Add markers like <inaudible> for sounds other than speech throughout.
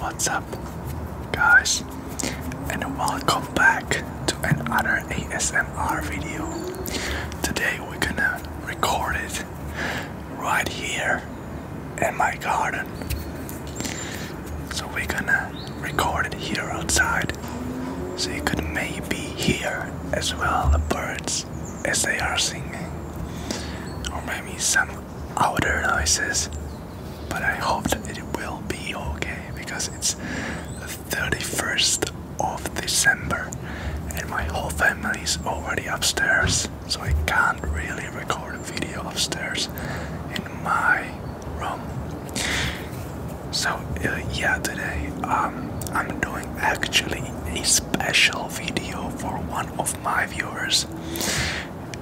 What's up, guys, and welcome back to another ASMR video. Today we're gonna record it right here in my garden. So we're gonna record it here outside, so you could maybe hear as well the birds as they are singing, or maybe some outer noises. But I hope that it will be okay because it's the 31st of December and my whole family is already upstairs, so I can't really record a video upstairs in my room. So uh, yeah, today um, I'm doing actually a special video for one of my viewers,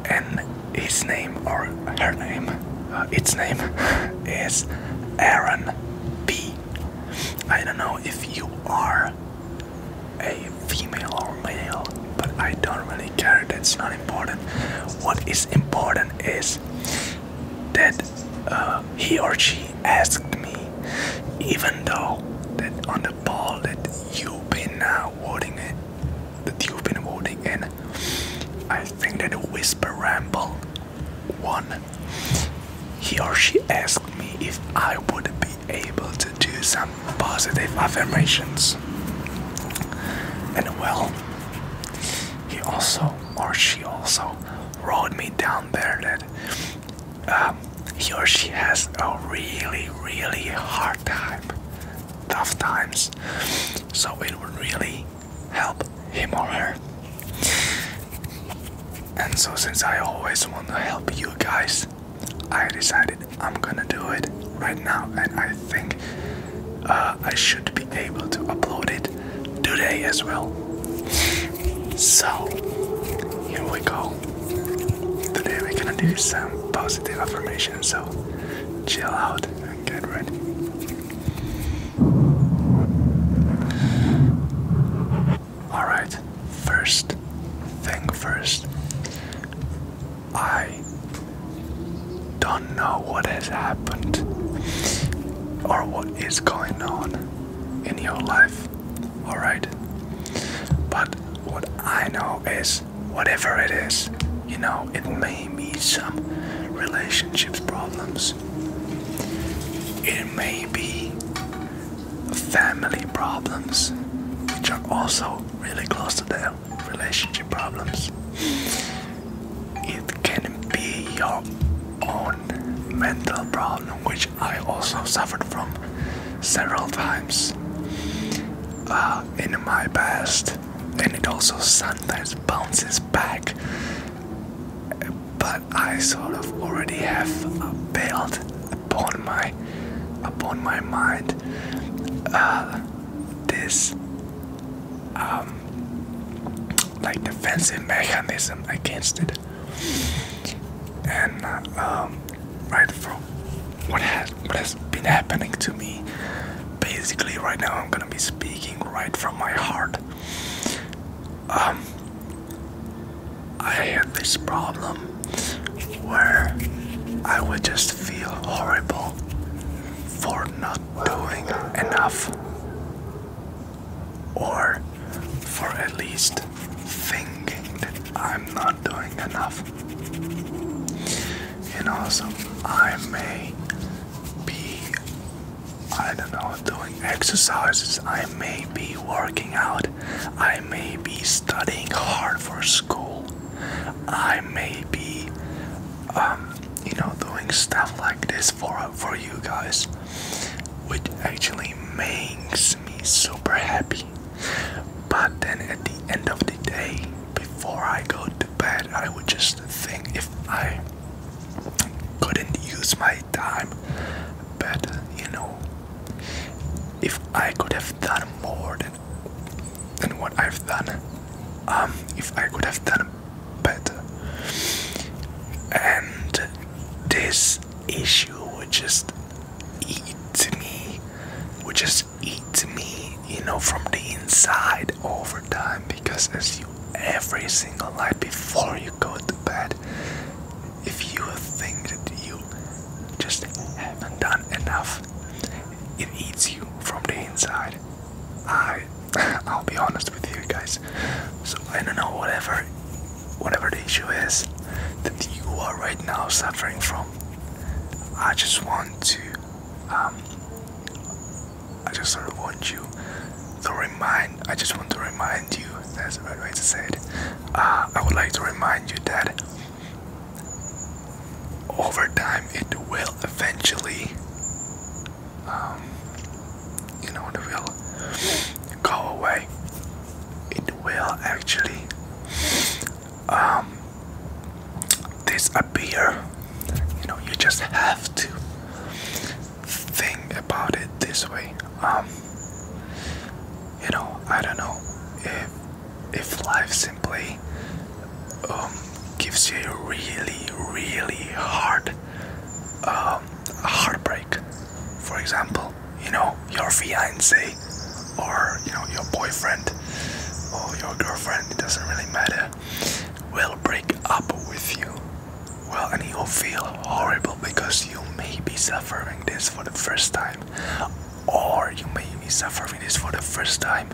and his name or her name, uh, its name <laughs> is Aaron B. I don't know if you are a female or male, but I don't really care. That's not important. What is important is that uh, he or she asked me, even though that on the that you've been uh, it, that you've been holding and I think that the whisper ramble one. He or she asked me if I would be able to do some positive affirmations. And well, he also or she also wrote me down there that um, he or she has a really, really hard time, tough times. So it would really help him or her. And so, since I always want to help you guys, I decided I'm gonna do it right now, and I think uh, I should be able to upload it today as well. So, here we go. Today we're gonna do some positive affirmations, so chill out and get ready. Alright, first thing first. I don't know what has happened or what is going on in your life, alright? But what I know is whatever it is, you know, it may be some relationships problems. It may be family problems, which are also really close to their relationship problems. It can be your own mental problem, which I also suffered from several times uh, in my past, and it also sometimes bounces back. But I sort of already have built upon my upon my mind uh, this um, like defensive mechanism against it, and uh, um, right from what has what has been happening to me. Basically, right now I'm gonna be speaking right from my heart. Um, I had this problem where I would just feel horrible for not doing enough, or for at least thinking that I'm not doing enough. And also, I may be, I don't know, doing exercises, I may be working out, I may be studying hard for school, I may be, um, you know, doing stuff like this for, for you guys, which actually makes me super happy. But then at the end of the day, before I go to bed, I would just think if I couldn't use my time better, you know, if I could have done more than than what I've done, um, if I could have done better, and this issue would just eats me, which just eats me, you know, from the inside over time. Because as you every single night before you go to bed, if you think that you just haven't done enough, it eats you from the inside. I, <laughs> I'll be honest with you guys. So I don't know whatever, whatever the issue is that you are right now suffering from I just want to, um, I just want to remind, I just want to remind you, that's the right way to say it. Uh, I would like to remind you that over time it will eventually, um, you know, it will go away. It will actually disappear. Um, you know, you just have to think about it this way. Um, you know, I don't know if if life simply um, gives you a really, really hard um, heartbreak. For example, you know, your fiance or you know your boyfriend or your girlfriend, it doesn't really matter, will break up with you. Well, and you'll feel horrible because you may be suffering this for the first time, or you may be suffering this for the first time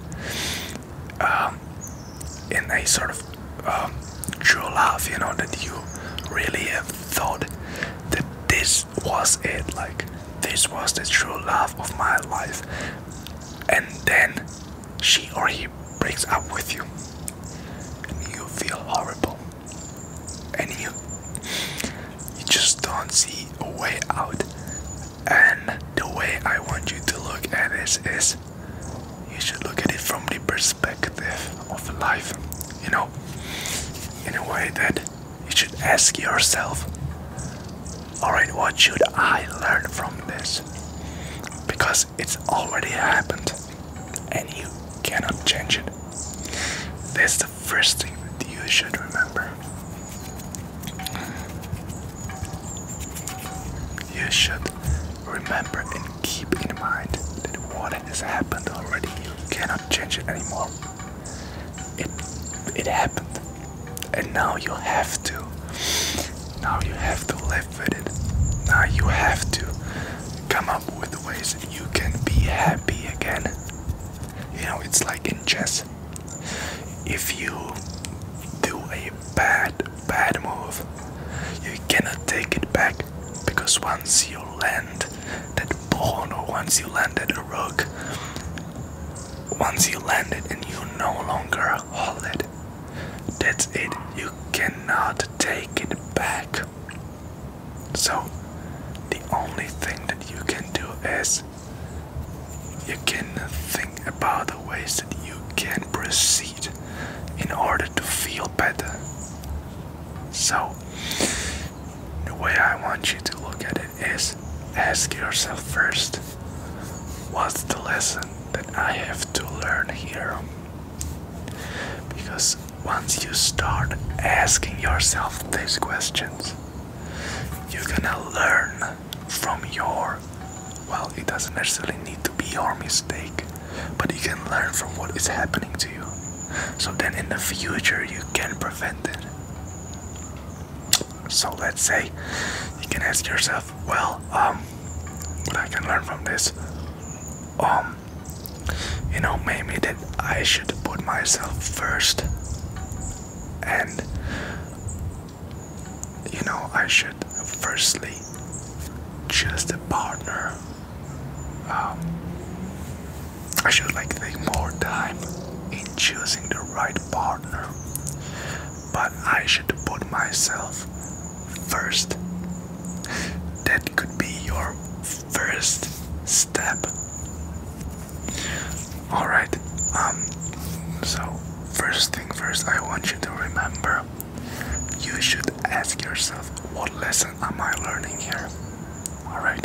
um, in a sort of um, true love, you know, that you really have thought that this was it like this was the true love of my life and then she or he breaks up with you and you feel horrible and you you just don't see a way out and the way i want you to look at this is you should look at it from the perspective of life you know in a way that you should ask yourself, alright, what should I learn from this? Because it's already happened and you cannot change it. That's the first thing that you should remember. You should remember and keep in mind that what has happened already, you cannot change it anymore. It it happened, and now you have to. Now you have to live with it. Now you have to come up with ways you can be happy again. You know, it's like in chess. If you do a bad, bad move, you cannot take it back because once you land that Bono, once you landed a rook, once you land and you no longer hold it, that's it. You cannot take it back. So, the only thing that you can do is you can think about the ways that you can proceed in order to feel better. So, the way I want you to look at it. Is ask yourself first what's the lesson that I have to learn here? Because once you start asking yourself these questions, you're gonna learn from your well, it doesn't necessarily need to be your mistake, but you can learn from what is happening to you. So then in the future, you can prevent it. So let's say you can ask yourself, well, um, what I can learn from this, um, you know, maybe that I should put myself first, and you know, I should firstly choose the partner um, I should like take more time in choosing the right partner. But I should put myself first. That could be your first step. Alright, um, so first thing first, I want you to remember you should ask yourself what lesson am I learning here? Alright,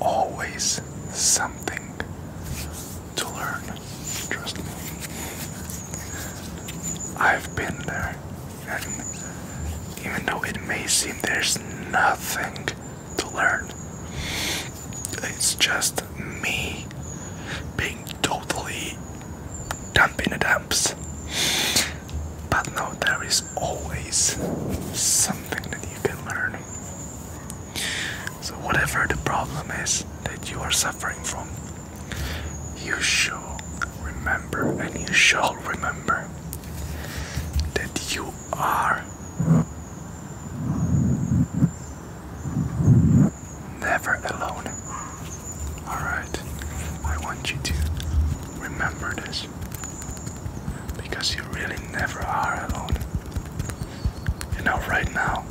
always something to learn. Trust me. I've been there, and even though it may seem there's nothing to learn, it's just me being totally dump in the dumps. But no, there is always something that you can learn. So, whatever the problem is that you are suffering from, you shall remember and you shall remember that you are never alone. Alright, I want you to remember this because you really never are alone. You know, right now,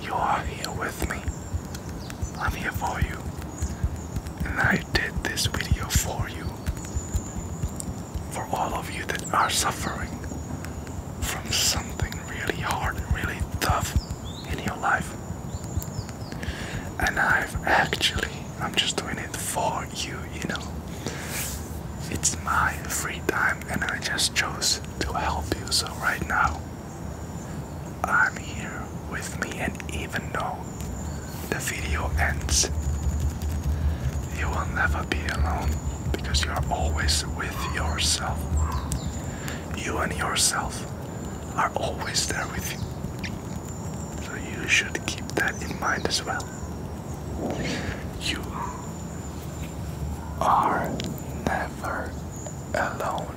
you are here with me. I'm here for you. And I did this video for you. For all of you that are suffering from something really hard really tough in your life. And I've actually, I'm just doing it for you, you know. It's my free time, and I just chose to help you. So, right now, I'm here with me, and even though the video ends, you will never be alone because you're always with yourself. You and yourself are always there with you. So, you should keep that in mind as well. You are never alone.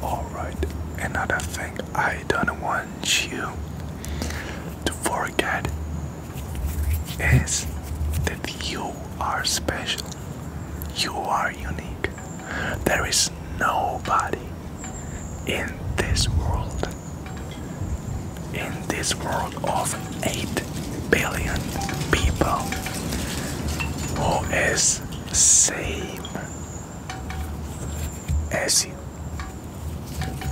All right, another thing I don't want you to forget my is that you are special. You are unique. There is nobody in this world, in this world of 8 billion people, who is same as you.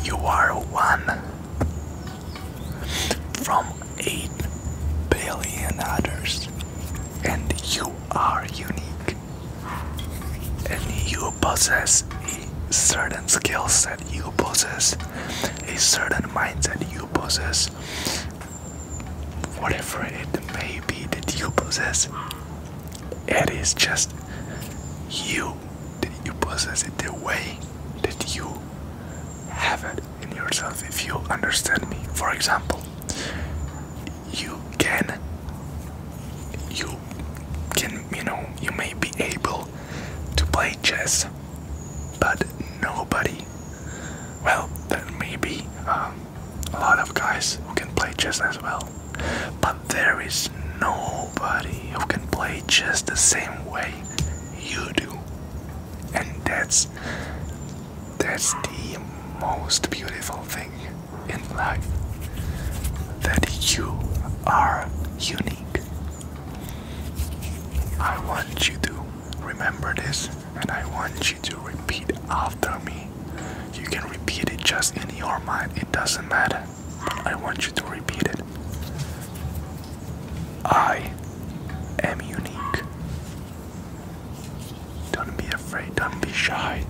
You are one from 8 billion others, and you are unique. And you possess a certain skill set, you possess a certain mindset, you possess whatever it may be that you possess. It is just you that you possess it the way that you have it in yourself if you understand me. For example, you can you can you know you may be able to play chess but nobody well there may be um, a lot of guys who can play chess as well but there is nobody who can play chess the same way you do. And that's that's the most beautiful thing in life that you are unique. I want you to remember this and I want you to repeat after me. You can repeat it just in your mind, it doesn't matter. I want you to repeat it. I am unique. Don't be afraid, don't be shy.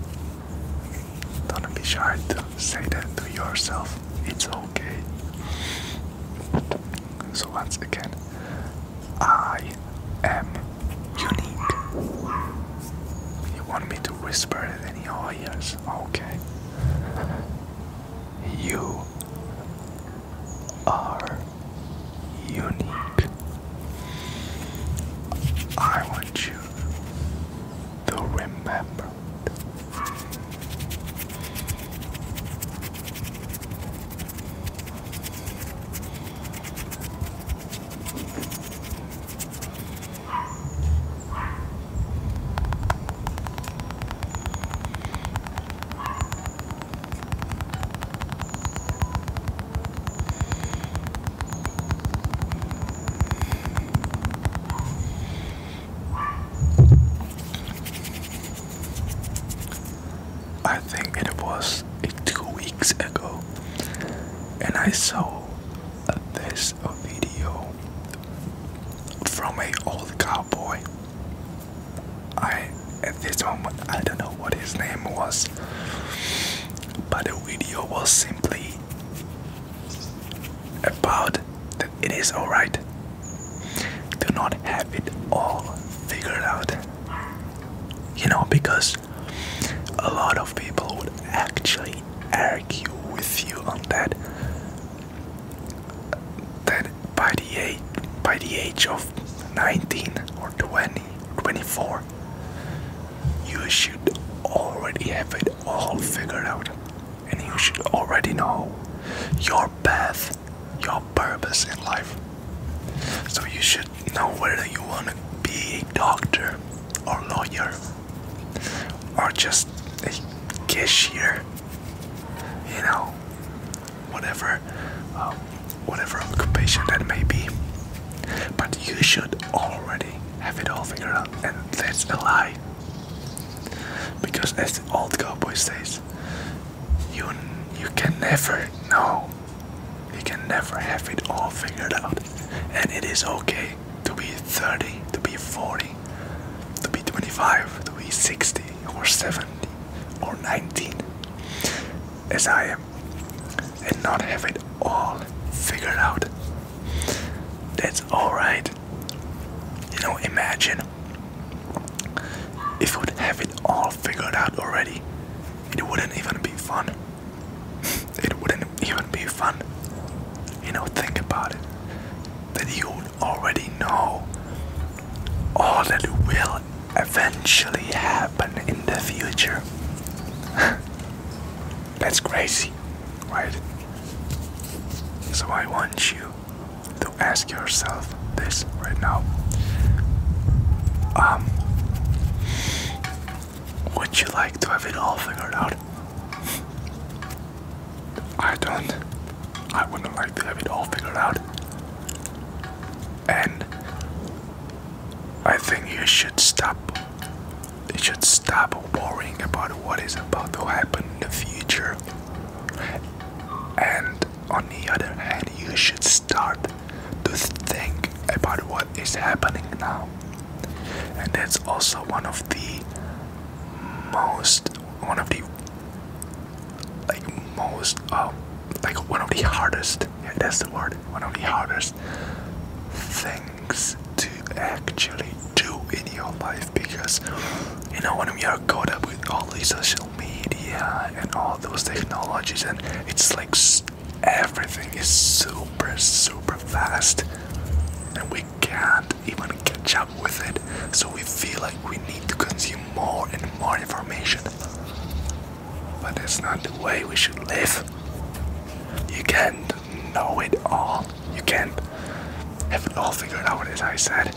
Don't be shy to say that to yourself. It's okay. So, once again, I am unique. You want me to whisper it in your ears? Okay. You are unique. I want you to remember. I think it was two weeks ago, and I saw this video from an old cowboy I at this moment I don't know what his name was, but the video was simply about that it is alright. to not have it all figured out. You know, because a lot of people would actually argue with you on that that by the age by the age of 19 or 20 or 24 you should already have it all figured out and you should already know your path your purpose in life so you should know whether you want to be a doctor or lawyer or just a cashier you know whatever um, whatever occupation that may be but you should already have it all figured out and that's a lie because as the old cowboy says you you can never know you can never have it all figured out and it is okay to be 30 to be 40 to be 25 to be 60 or 70 or 19 as I am and not have it all figured out. That's alright. You know, imagine if we would have it all figured out already, it wouldn't even be fun. <laughs> it wouldn't even be fun. You know, think about it. That you already know all that will eventually happen in the future. <laughs> That's crazy, right? So I want you to ask yourself this right now. Um, would you like to have it all figured out? I don't. I wouldn't like to have it all figured out. And I think you should stop. You should stop worrying about what is about to happen in the future. And on the other hand, you should start to think about what is happening now. And that's also one of the most one of the like most uh, like one of the hardest yeah, that's the word one of the hardest things to actually do in your life because you know when we are caught up with all the social media and all those technologies and it's like everything is super super fast and we can not even catch up with it. So we feel like we need to consume more and more information. But that's not the way we should live. You can't know it all. You can't have it all figured out, as I said.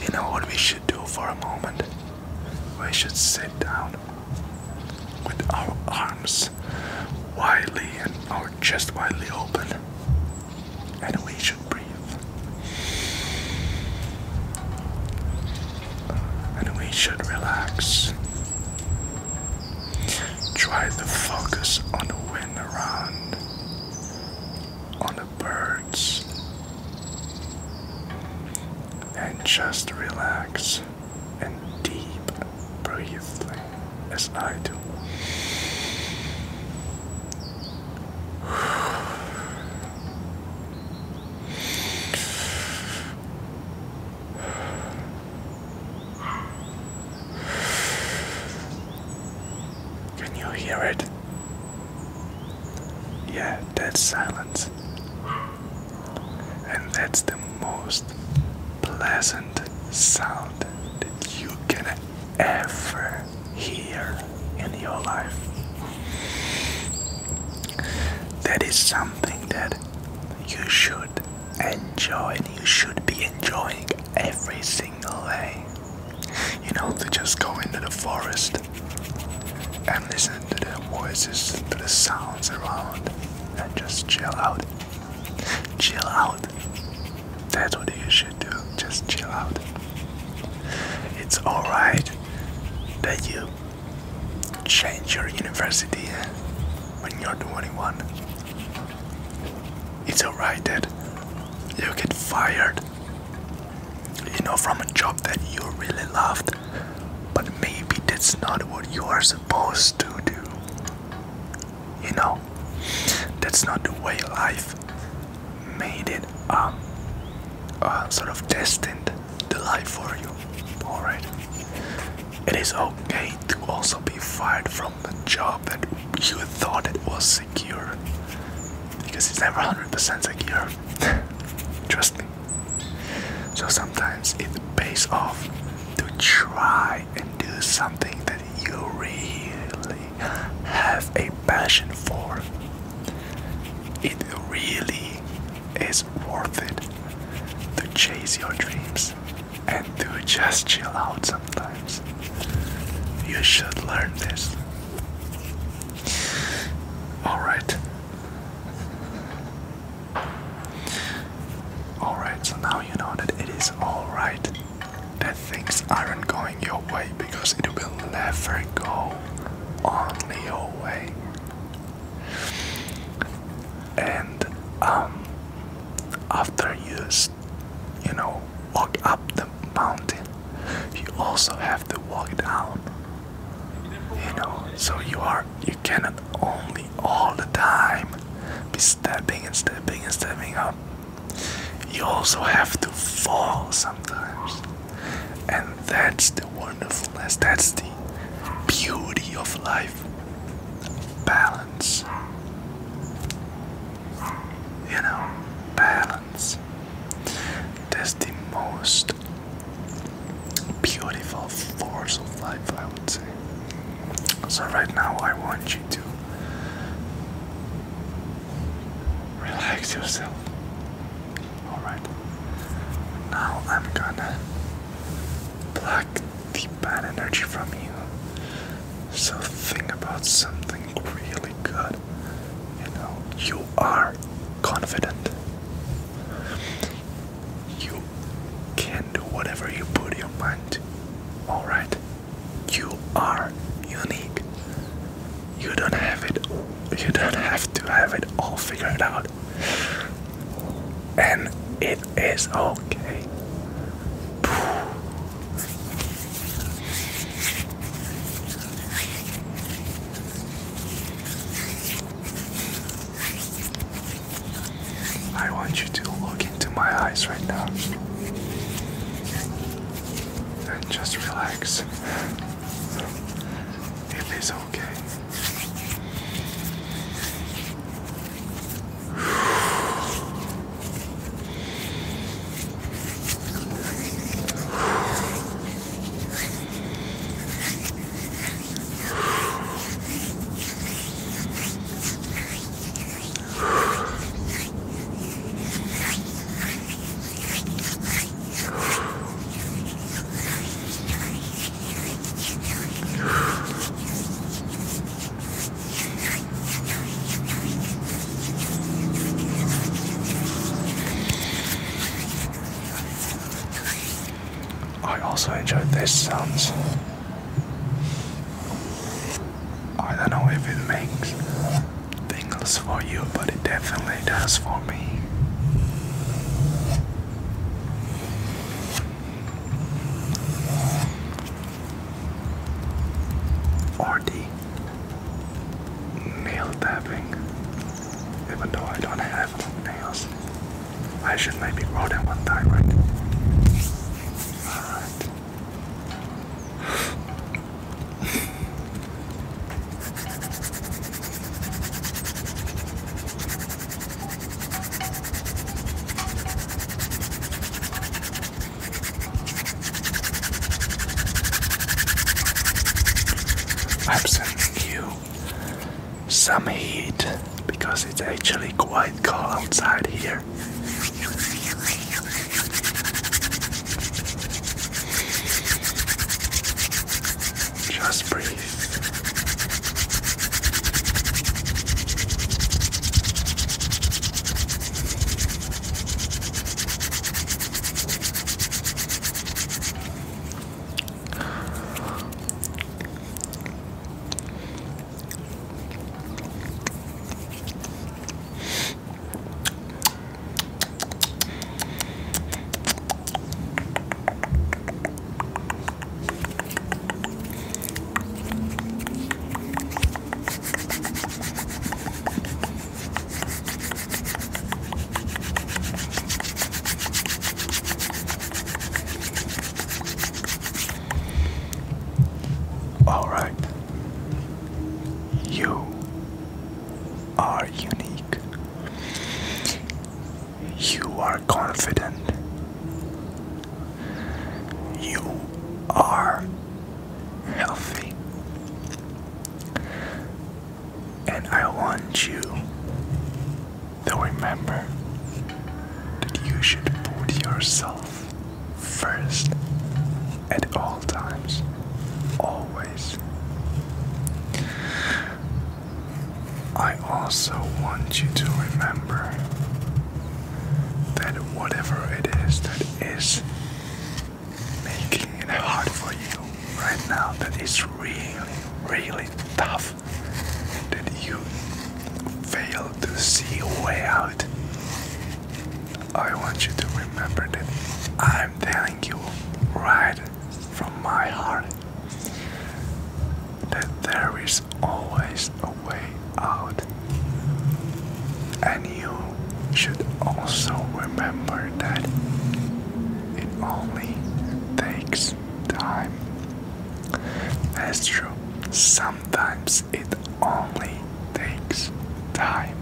You know what we should do for a moment? We should sit down with our arms widely and our chest widely open and we should breathe. And we should relax. Try to focus on the wind around, on the birds, and just relax and deep breathe as I do. Can you hear it? Yeah, that's silence. And that's the most pleasant sound that you can ever here in your life. That is something that you should enjoy and you should be enjoying every single day. You know, to just go into the forest and listen to the voices, to the sounds around, and just chill out. Chill out. That's what you should do. Just chill out. It's alright that you change your university when you're 21. It's alright that you get fired, you know, from a job that you really loved, but maybe that's not what you are supposed to do. You know, that's not the way life made it um, uh, sort of destined to lie for you. Alright? It is okay to also be fired from the job that you thought it was secure. Because it's never 100% secure. <laughs> Trust me. So sometimes it pays off to try and do something that you really have a passion for, it really is worth it to chase your dreams and to just chill out sometimes. You should learn this. Alright. Alright, so now you know that it is alright that things aren't going your way because it will never go only your way. And um, after you, you know, walk up the mountain, you also have to walk down. You know, so you are you cannot only all the time be stepping and stepping and stepping up. You also have to fall sometimes. And that's the wonderfulness, that's the beauty of life. Balance. You know, balance. That's the most beautiful force of life, I would say. So, right now, I want you to relax yourself. Alright. Now I'm gonna pluck the bad energy from you. So think about something really good. You know, you are confident. You can do whatever you put your mind to. Alright you are unique. You don't have it. You don't have to have it all figured out. And it is okay. I want you to look into my eyes right now and just relax is it is okay. I also enjoyed these sounds. I don't know if it makes things for you, but it definitely does for me. Or nail tapping. Even though I don't have long nails, I should maybe grow them one time, right? Alright. I'm sending you some heat because it's actually quite cold outside here. Just breathe. All right, you are unique. You are confident. You are healthy. And I want you to remember that you should put yourself first at all times. Always. I also want you to remember that whatever it is that is making it hard for you right now, that is really, really tough, that you fail to see a way out. I want you to remember that I'm telling you right from my heart that there is always a way out. And you should also remember that it only takes time. That's true. Sometimes it only takes time.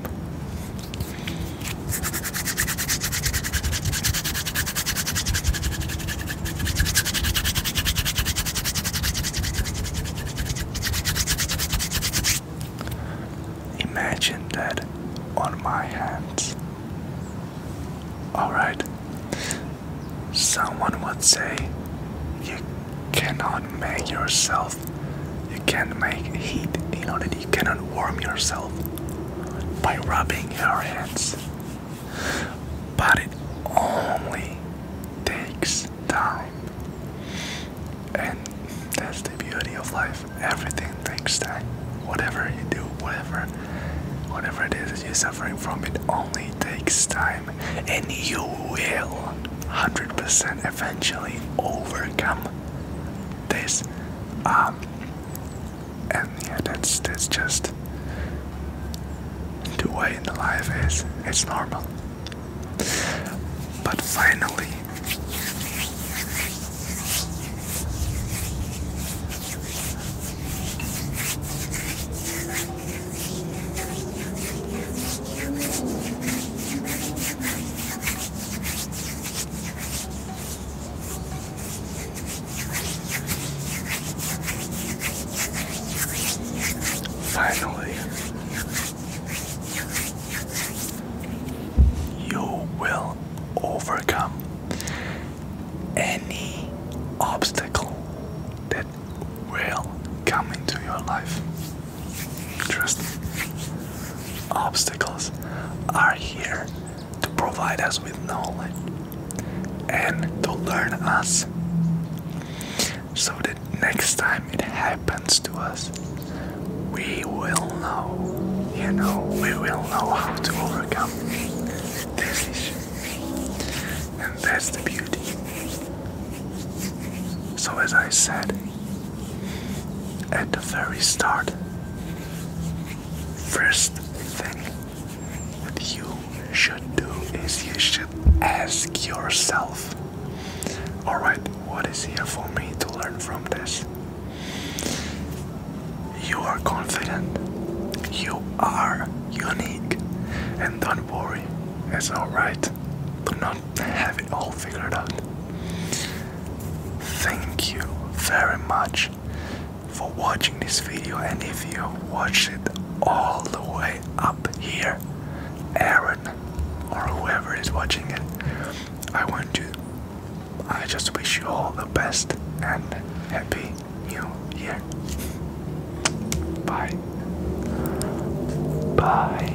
Imagine that on my hands. Alright, someone would say you cannot make yourself you can't make heat in order you cannot warm yourself by rubbing your hands. But it only takes time. And that's the beauty of life. Everything takes time. Whatever you do, whatever whatever it is that you're suffering from, it only takes time. And you will 100% eventually overcome this. Um, and yeah, that's just the way in life is. It's normal. But finally. Finally, you will overcome any obstacle that will come into your life. Interesting. Obstacles are here to provide us with knowledge and to learn us so that next time it happens to us, we will know, you know, we will know how to overcome this issue. And that's the beauty. So, as I said, at the very start. First thing that you should do is you should ask yourself, alright, what is here for me to learn from this? You are confident, you are unique, and don't worry, it's alright to not have it all figured out. Thank you very much for watching this video and if you watched it all the way up here, Aaron or whoever is watching it, I want to I just wish you all the best and happy new year. Bye. Bye.